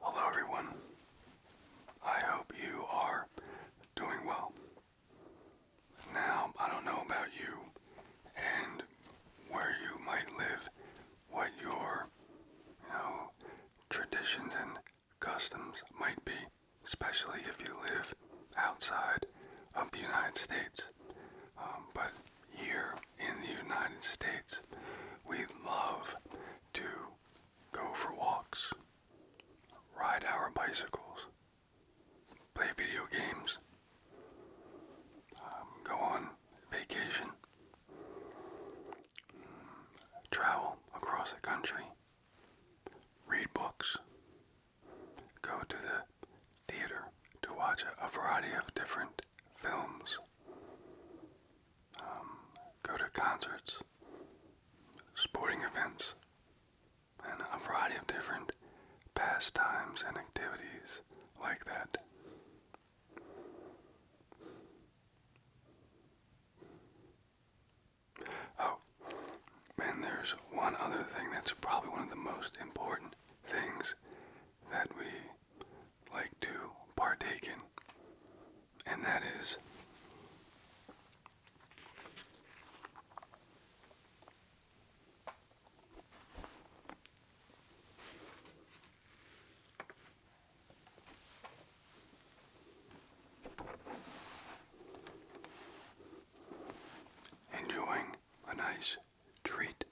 Hello, everyone. I hope you are doing well. Now, I don't know about you and where you might live, what your, traditions and customs might be, especially if you live outside of the United States. Um, but here in the United States, we love to go for walks, ride our bicycles, play video games, um, go on vacation, travel across the country, read books, go to the theater to watch a variety of different films um, go to concerts, sporting events, and a variety of different pastimes and activities like that. Oh, and there's one other thing that's probably one of the most important things that we like to partake in, and that is enjoying a nice treat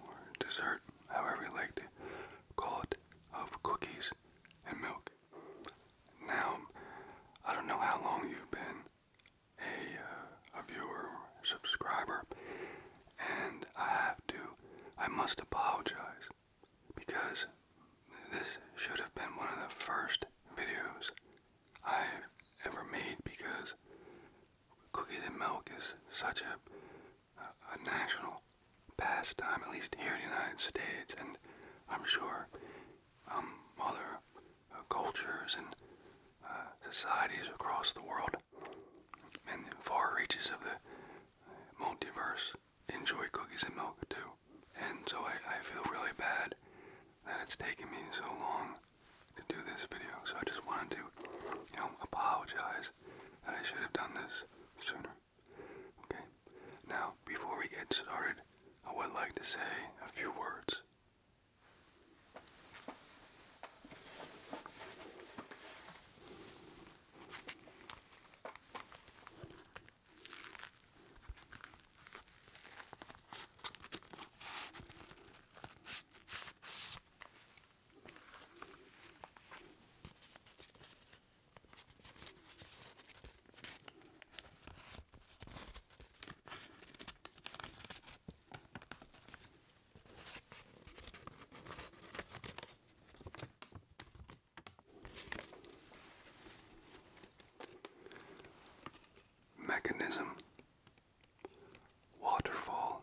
or dessert, however you like to call it, of cookies and milk. Now, I don't know how long you've been a, uh, a viewer, subscriber, and I have to, I must apologize because this should have been one of the first videos I ever made because Cookies and milk is such a, a, national pastime, at least here in the United States, and I'm sure um, other uh, cultures and uh, societies across the world in the far reaches of the multiverse enjoy cookies and milk too. And so I, I feel really bad that it's taken me so long to do this video. So I just wanted to, you know, apologize that I should have done this sooner. Okay? Now, before we get started, I would like to say a few words. Mechanism waterfall,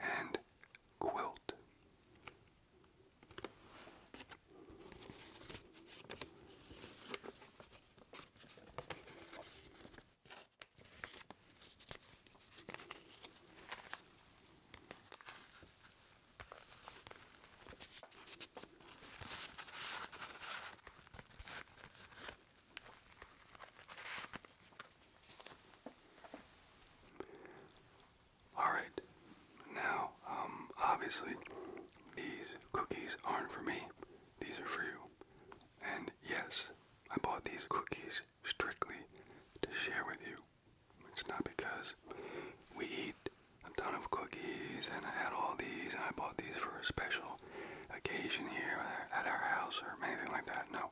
and quilt. All right. Now, um, obviously, these cookies aren't for me. These are for you. And yes, I bought these cookies strictly to share with you. It's not because we eat a ton of cookies and I had all these and I bought these for a special occasion here at our house or anything like that. No.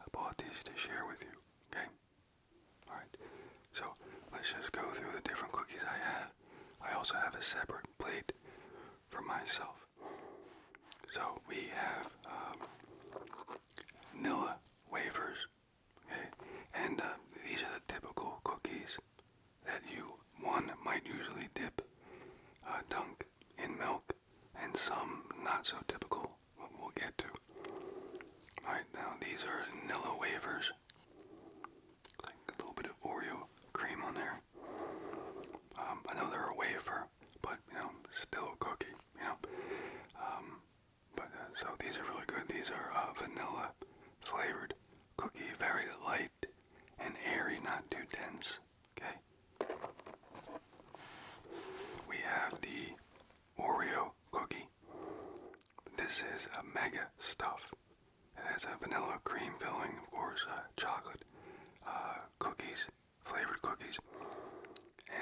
I bought these to share with you, okay? Alright, so let's just go through the different cookies I have. I also have a separate plate for myself. So we have vanilla um, wafers, okay? And um, these are the typical cookies that you, one, might usually dip, uh, dunk in milk, and some not so typical, but we'll get to. Alright, now these are Nilla wafers. Like a little bit of Oreo cream on there. Um, I know they're a wafer, but you know, still a cookie, you know. Um, but uh, so these are really good. These are uh, vanilla flavored cookie, very light and airy, not too dense. Okay. We have the Oreo cookie. This is a mega stuff. It has a vanilla cream filling, of course, uh, chocolate, uh, cookies, flavored cookies,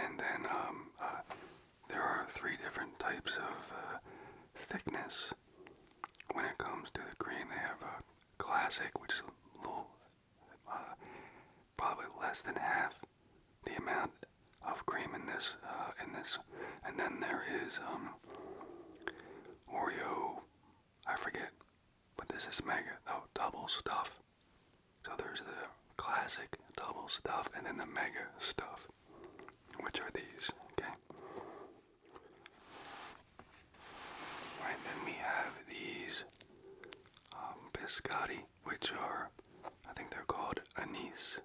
and then um, uh, there are three different types of uh, thickness. When it comes to the cream, they have a classic, which is a little probably less than half the amount of cream in this uh, in this and then there is um Oreo I forget but this is mega oh double stuff so there's the classic double stuff and then the mega stuff which are these okay right then we have these um, biscotti, which are, I think they're called anise,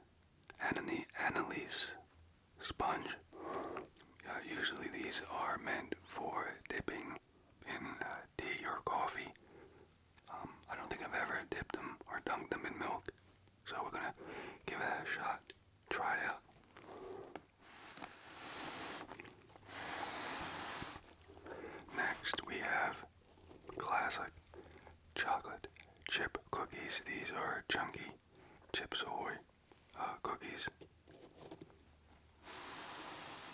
anani, anise sponge. Uh, usually these are meant for dipping in uh, tea or coffee. Um, I don't think I've ever dipped them or dunked them in milk, so we're gonna give it a shot. Try it out. Next, we have classic chocolate chip cookies. These are chunky Chips Ahoy uh, cookies.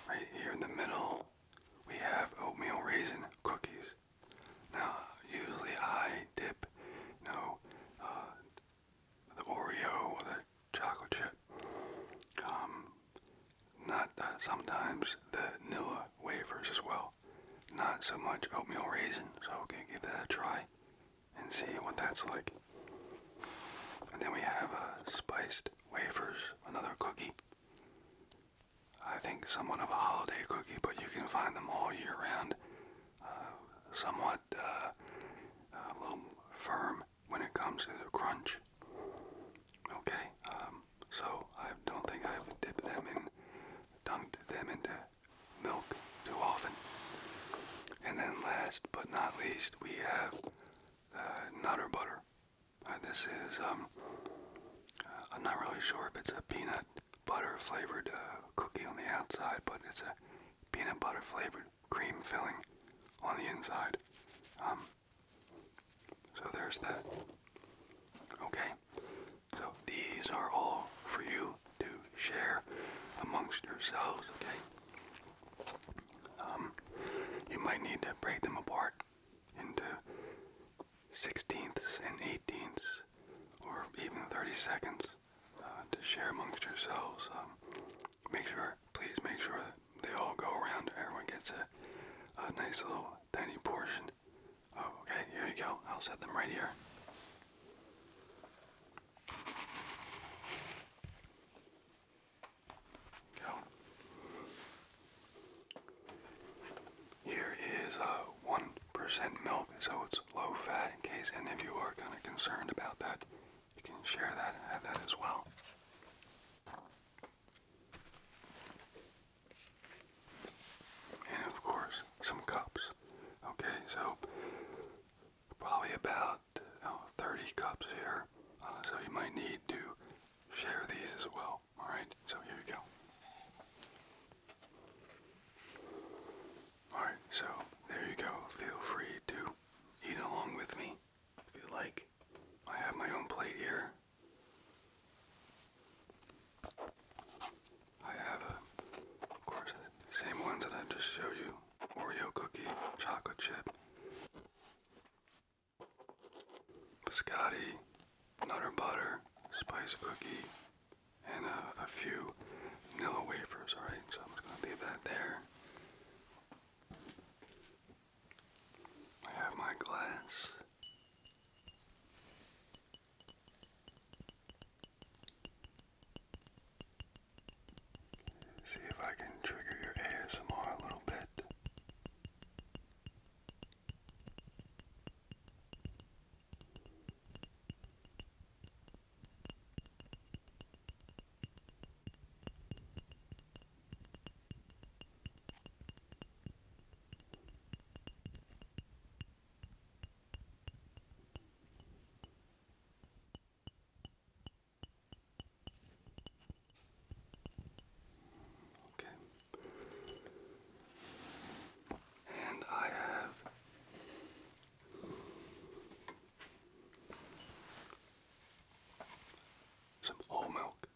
Right here in the middle, we have oatmeal raisin cookies. Now, usually I dip, no, uh, the Oreo chocolate chip. Um, not uh, sometimes the Nilla wafers as well. Not so much oatmeal raisin, so i can give that a try and see what that's like. And then we have uh, spiced wafers, another cookie. I think somewhat of a holiday cookie, but you can find them all year round. Uh, somewhat a little firm when it comes to the crunch. Okay, um, so I don't think I've dipped them in, dunked them into milk too often. And then last but not least, we have uh, Nutter Butter. Uh, this is, um, uh, I'm not really sure if it's a peanut butter flavored cookie on the outside, but it's a peanut butter flavored cream filling on the inside. Um, so there's that. Okay? So these are all for you to share amongst yourselves, okay? Um, you might need to break them apart into sixteenths and eighteenths, or even 30 seconds uh, to share amongst yourselves. Um, make sure, please make sure that they all go around. Everyone gets a, nice little tiny portion. Oh, okay, here you go. I'll set them right here. Go. Here is a uh, 1% milk, so it's low fat in case any of you are kind of concerned about that you can share that and have that as well. And of course, some cups. Okay, so probably about 30 cups here. Uh, so you might need to share these as well. Alright, so here you go. Alright, so there you go. Feel free to eat along with me. If you like, I have my own plate here. I have, of course, same ones that I just showed you Oreo cookie, chocolate chip, biscotti, nutter butter, spice cookie, and a, few vanilla wafers. Alright, so I'm just going to leave that there. I have my glass. See if I can trigger your ASMR a little bit. Okay. And I have some whole milk.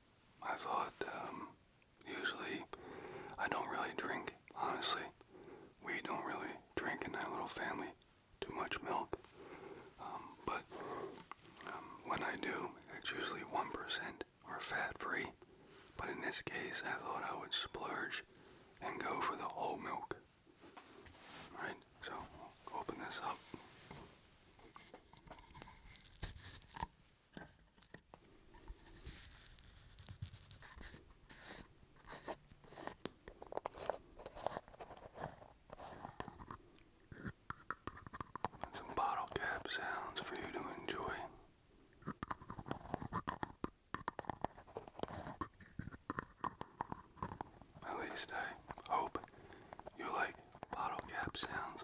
I thought, um, usually I don't really drink, honestly. We don't really drink in our little family too much milk. Um, but um, when I do, it's usually 1% or fat free. But in this case, I thought I would splurge and go for the whole milk. Right, so open this up. some bottle cap sounds for you to enjoy. At least I hope you like bottle cap sounds.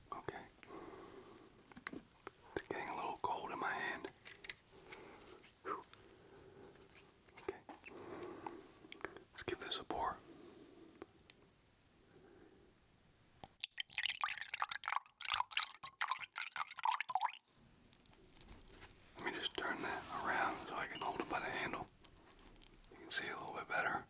Okay. It's getting a little cold in my hand. Okay. Let's give this a pour. Let me just turn that around so I can hold it by the handle. You can see a little bit better.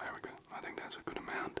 There we go. I think that's a good amount.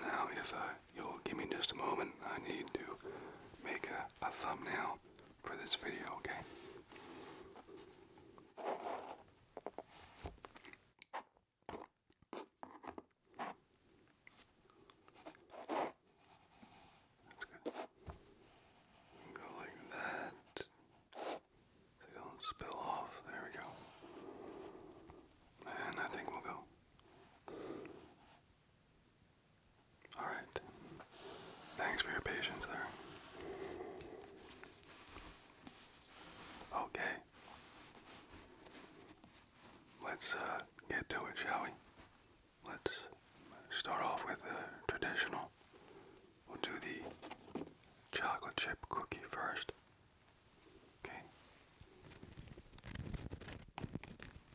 Now, if uh, you'll give me just a moment, I need to make a, thumbnail for this video, okay? Go like that don't spill off. There we go. And I think we'll go. Alright. Thanks for your patience there. Okay. Let's uh, get to it, shall we? Let's start off with the traditional We'll do the chocolate chip cookie first. Okay.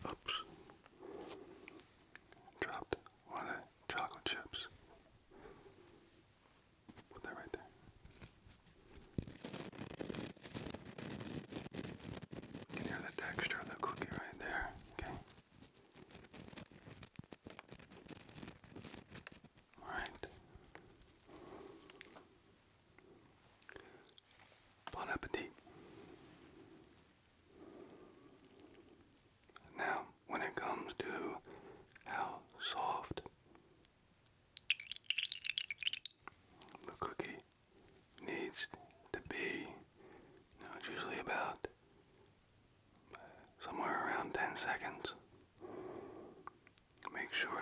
Oops. Dropped one of the chocolate chips. Put that right there. You hear the texture of the cookie right there. Okay. All right. Bon appetit. Now, when it comes to how soft the cookie needs to be, you it's usually about somewhere around 10 seconds. Make sure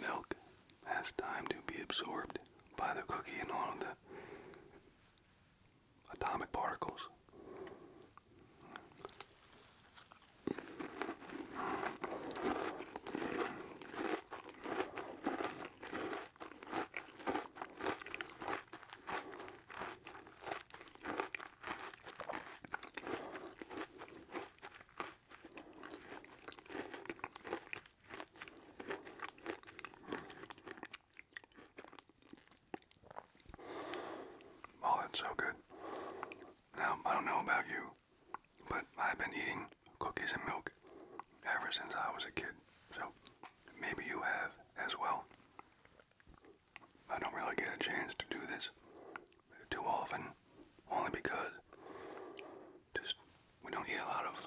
the milk has time to be absorbed by the cookie and all of the atomic particles. Oh, it's so good. Now, I don't know about you, but I've been eating cookies and milk ever since I was a kid. So maybe you have as well. I don't really get a chance to do this too often, only because just we don't eat a lot of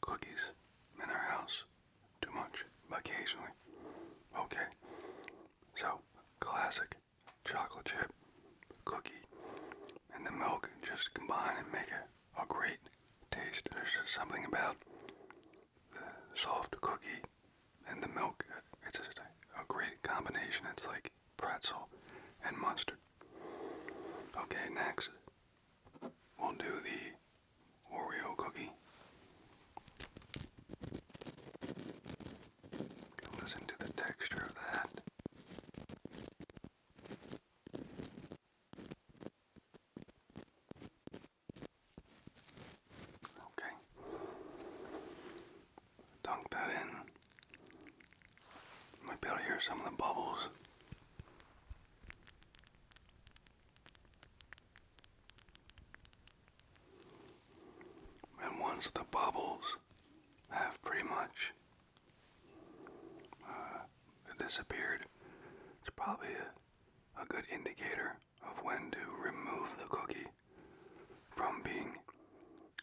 cookies in our house too much, but occasionally. Okay, so classic chocolate chip cookie and the milk just combine and make it a great taste. There's just something about the soft cookie and the milk. It's a, a great combination. It's like pretzel and mustard. Okay, next we'll do the Oreo cookie. Listen to the texture of that. Okay. Dunk that in. Might be able to hear some of the bubbles. And once the bubbles have pretty much uh, disappeared, it's probably a a good indicator of when to remove the cookie from being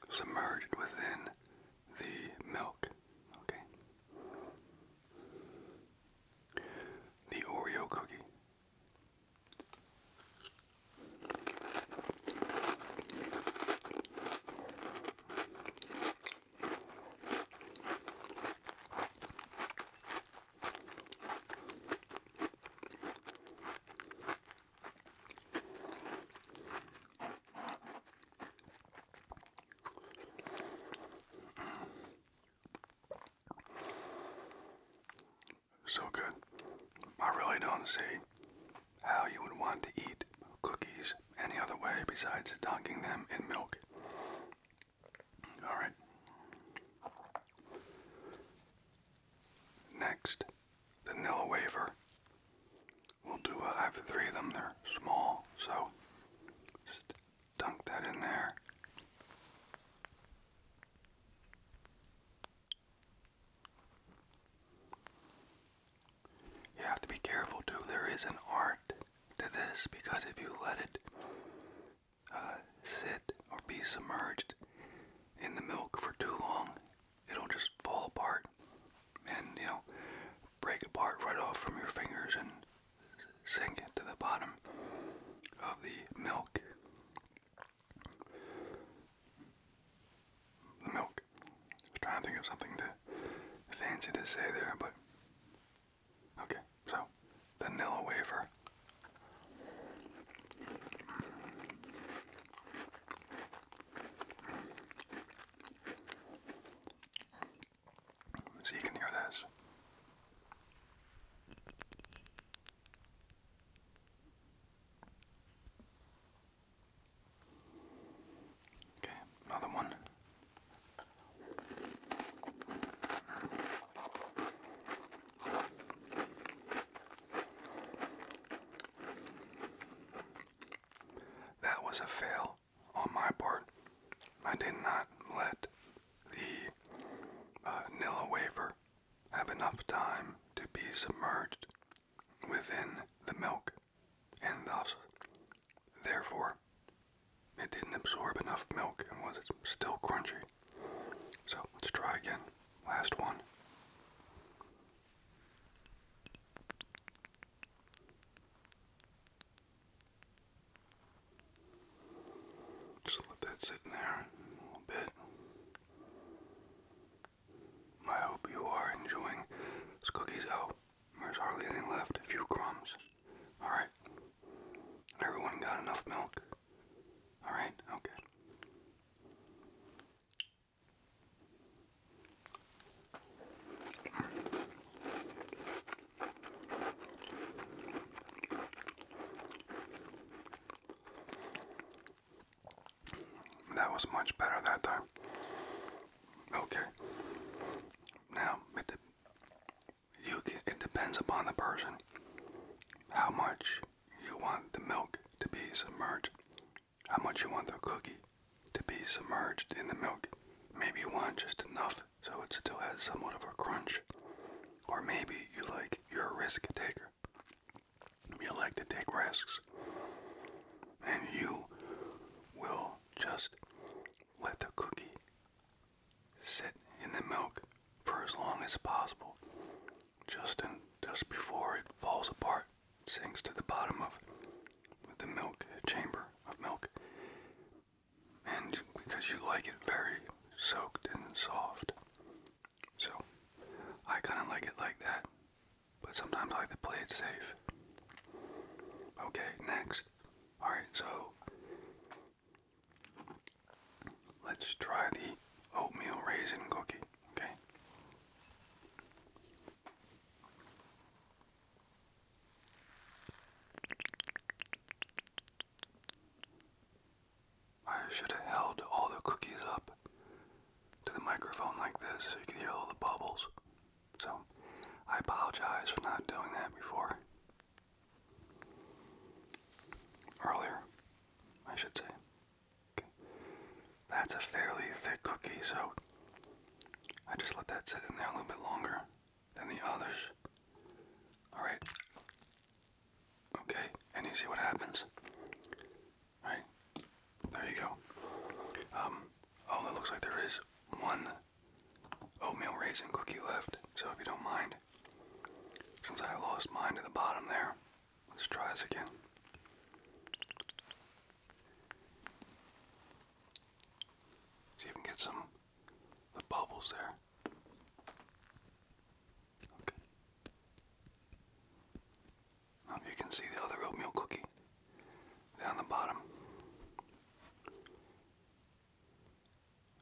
submerged within the milk. Okay. The Oreo cookie. So good. I really don't see how you would want to eat cookies any other way besides dunking them in milk. All right. Next, the nil We'll do, a, uh, I have three of them, they're small, so just dunk that in there. You have to be careful too, there is an art to this because if you let it uh, sit or be submerged in the milk for too long, it'll just fall apart and, you know, break apart right off from your fingers and sink to the bottom of the milk. The milk. trying to think of something to fancy to say there, but Okay, so vanilla wafer. So you can hear this. Okay, another one. That was a fail on my part. I did not let the uh, wafer have enough time to be submerged within the milk, and thus, therefore, it didn't absorb enough milk and was still crunchy. So let's try again. Last one. Just let that sit in there a little bit. I hope you are enjoying those cookies. Oh, there's hardly any left, a few crumbs. Alright. Everyone got enough milk? Alright, okay. That was much better that time. Okay. Now, it depends upon the person how much you want the milk to be submerged, how much you want the cookie to be submerged in the milk. Maybe you want just enough so it still has somewhat of a crunch. Or maybe you like, you're a risk taker. You like to take risks. And you will just let the cookie sit in the milk for as long as possible, just in, just before it falls apart, sinks to the bottom of the milk chamber of milk, and because you like it very soaked and soft, so I kind of like it like that. But sometimes I like to play it safe. Okay, next all right, so let's try the oatmeal raisin cookie, okay? I should have held all the cookies up to the microphone like this so you could hear all the bubbles. So I apologize for not doing that before. Earlier, I should say. That's a fairly thick cookie, so I just let that sit in there a little bit longer than the others. Alright. Okay, and you see what happens? All right? There you go. Um, oh, it looks like there is one oatmeal raisin cookie left. So if you don't mind, since I lost mine to the bottom there, let's try this again. See if we get some the bubbles there. Okay. Now you can see the other oatmeal cookie down the bottom.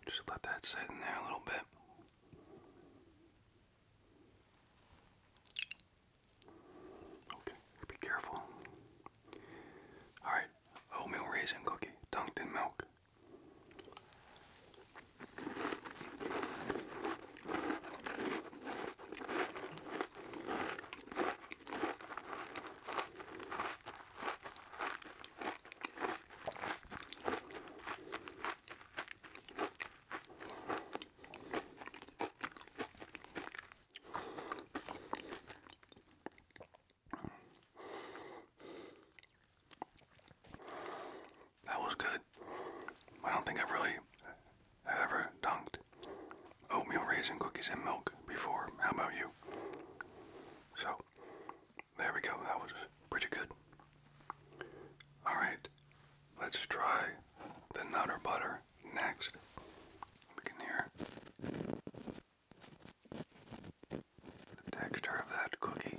Just let that sit in there a little bit. Okay, be careful. Alright, oatmeal raisin cookie dunked in milk. That was good. I don't think I've really ever dunked oatmeal raisin cookies and milk before. How about you? So, there we go. That was pretty good. Alright, let's try the Nutter Butter next. We can hear the texture of that cookie.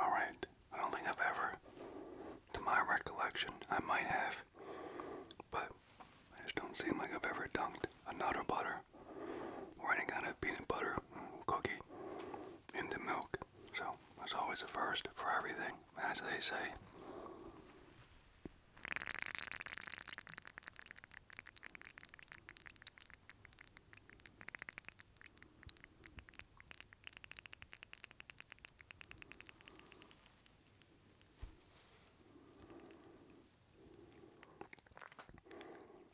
All right, I don't think I've ever, to my recollection, I might have, but I just don't seem like I've ever dunked a nut or butter or any kind of peanut butter cookie into milk. So it's always a first for everything, as they say.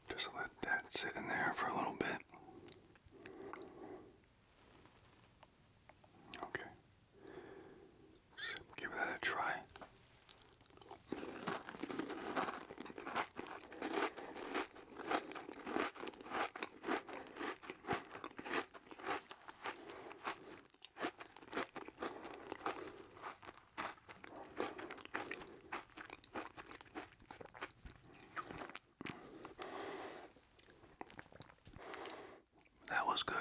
Just let that sit in there for a little bit. Okay give that a try. That was good.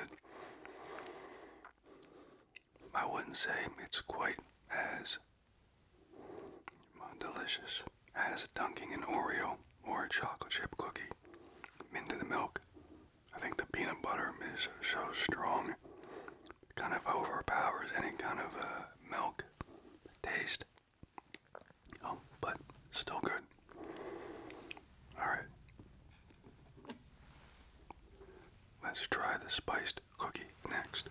I wouldn't say it's quite as delicious as dunking an Oreo or a chocolate chip cookie into the milk. I think the peanut butter is so strong, kind of overpowers any kind of uh, milk taste. Oh, but still good. All right. Let's try the spiced cookie next.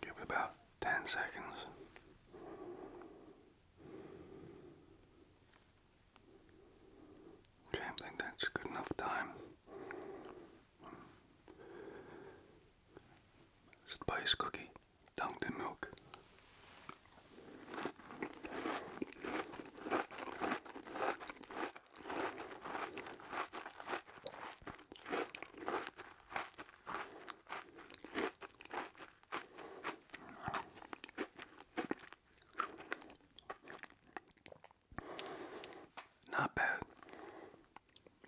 Give it about 10 seconds. Okay, I think that's good enough time. Spice cookie dunked in milk. Not bad.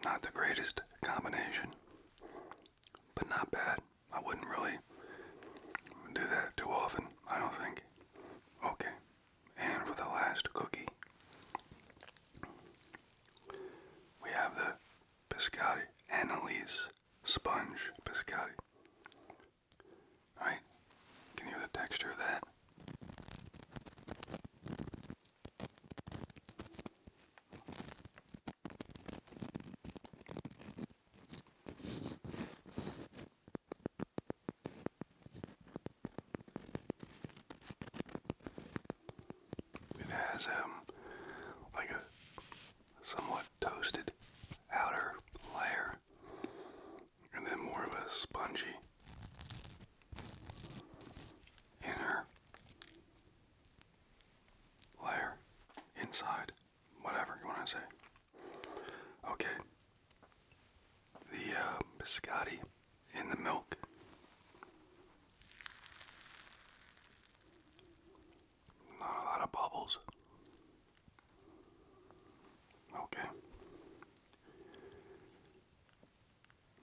Not the greatest combination, but not bad. I wouldn't really do that too often, I don't think. Okay, and for the last cookie, we have the Pescati Annalise Sponge Pescati. Right? Can you hear the texture of that? It has um like a somewhat toasted outer layer, and then more of a spongy inner layer inside, whatever you want to say. Okay, the uh, biscotti in the milk. Not a lot of bubbles. Okay.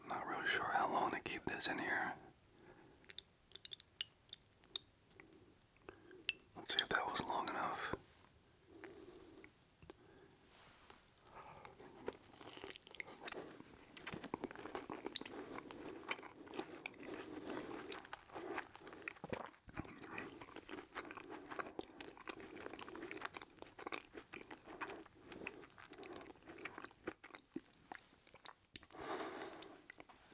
Not really sure how long to keep this in here. Let's see if that was long enough.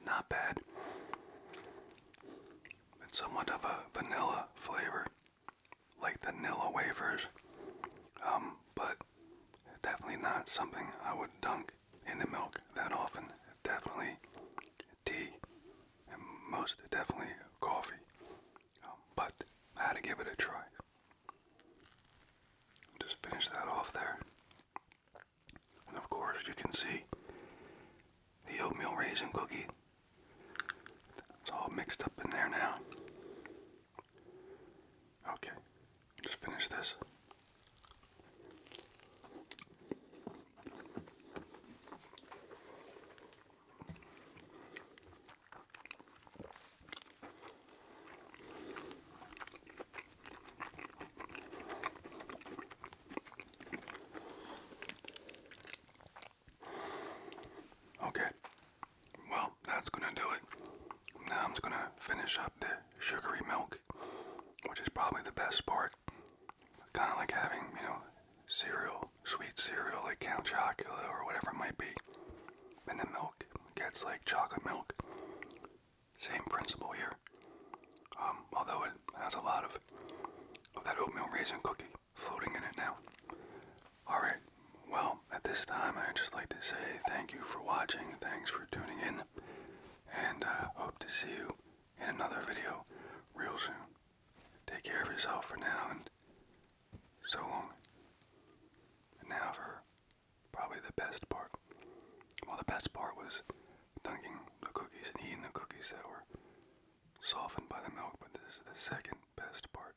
Not bad. It's somewhat of a vanilla flavor, like vanilla wafers, um, but definitely not something I would dunk in the milk that often. Definitely tea, and most definitely coffee. Um, but I had to give it a try. Just finish that off there. And of course, you can see the oatmeal raisin cookie. It's all mixed up in there now. Okay, just finish this. Okay, well, that's gonna do it. Now I'm gonna finish up the sugary milk, which is probably the best part dessert. Kind of like having, you know, cereal, sweet cereal like Count Chocula or whatever it might be. And the milk gets like chocolate milk. Same principle here. Um, although it has a lot of, of that oatmeal raisin cookie floating in it now. Alright, well, at this time, I'd just like to say thank you for watching, thanks for tuning in, and I uh, hope to see you in another video real soon. Take care of yourself for now and so long. now for probably the best part. Well, the best part was dunking the cookies and eating the cookies that were softened by the milk, but this is the second best part.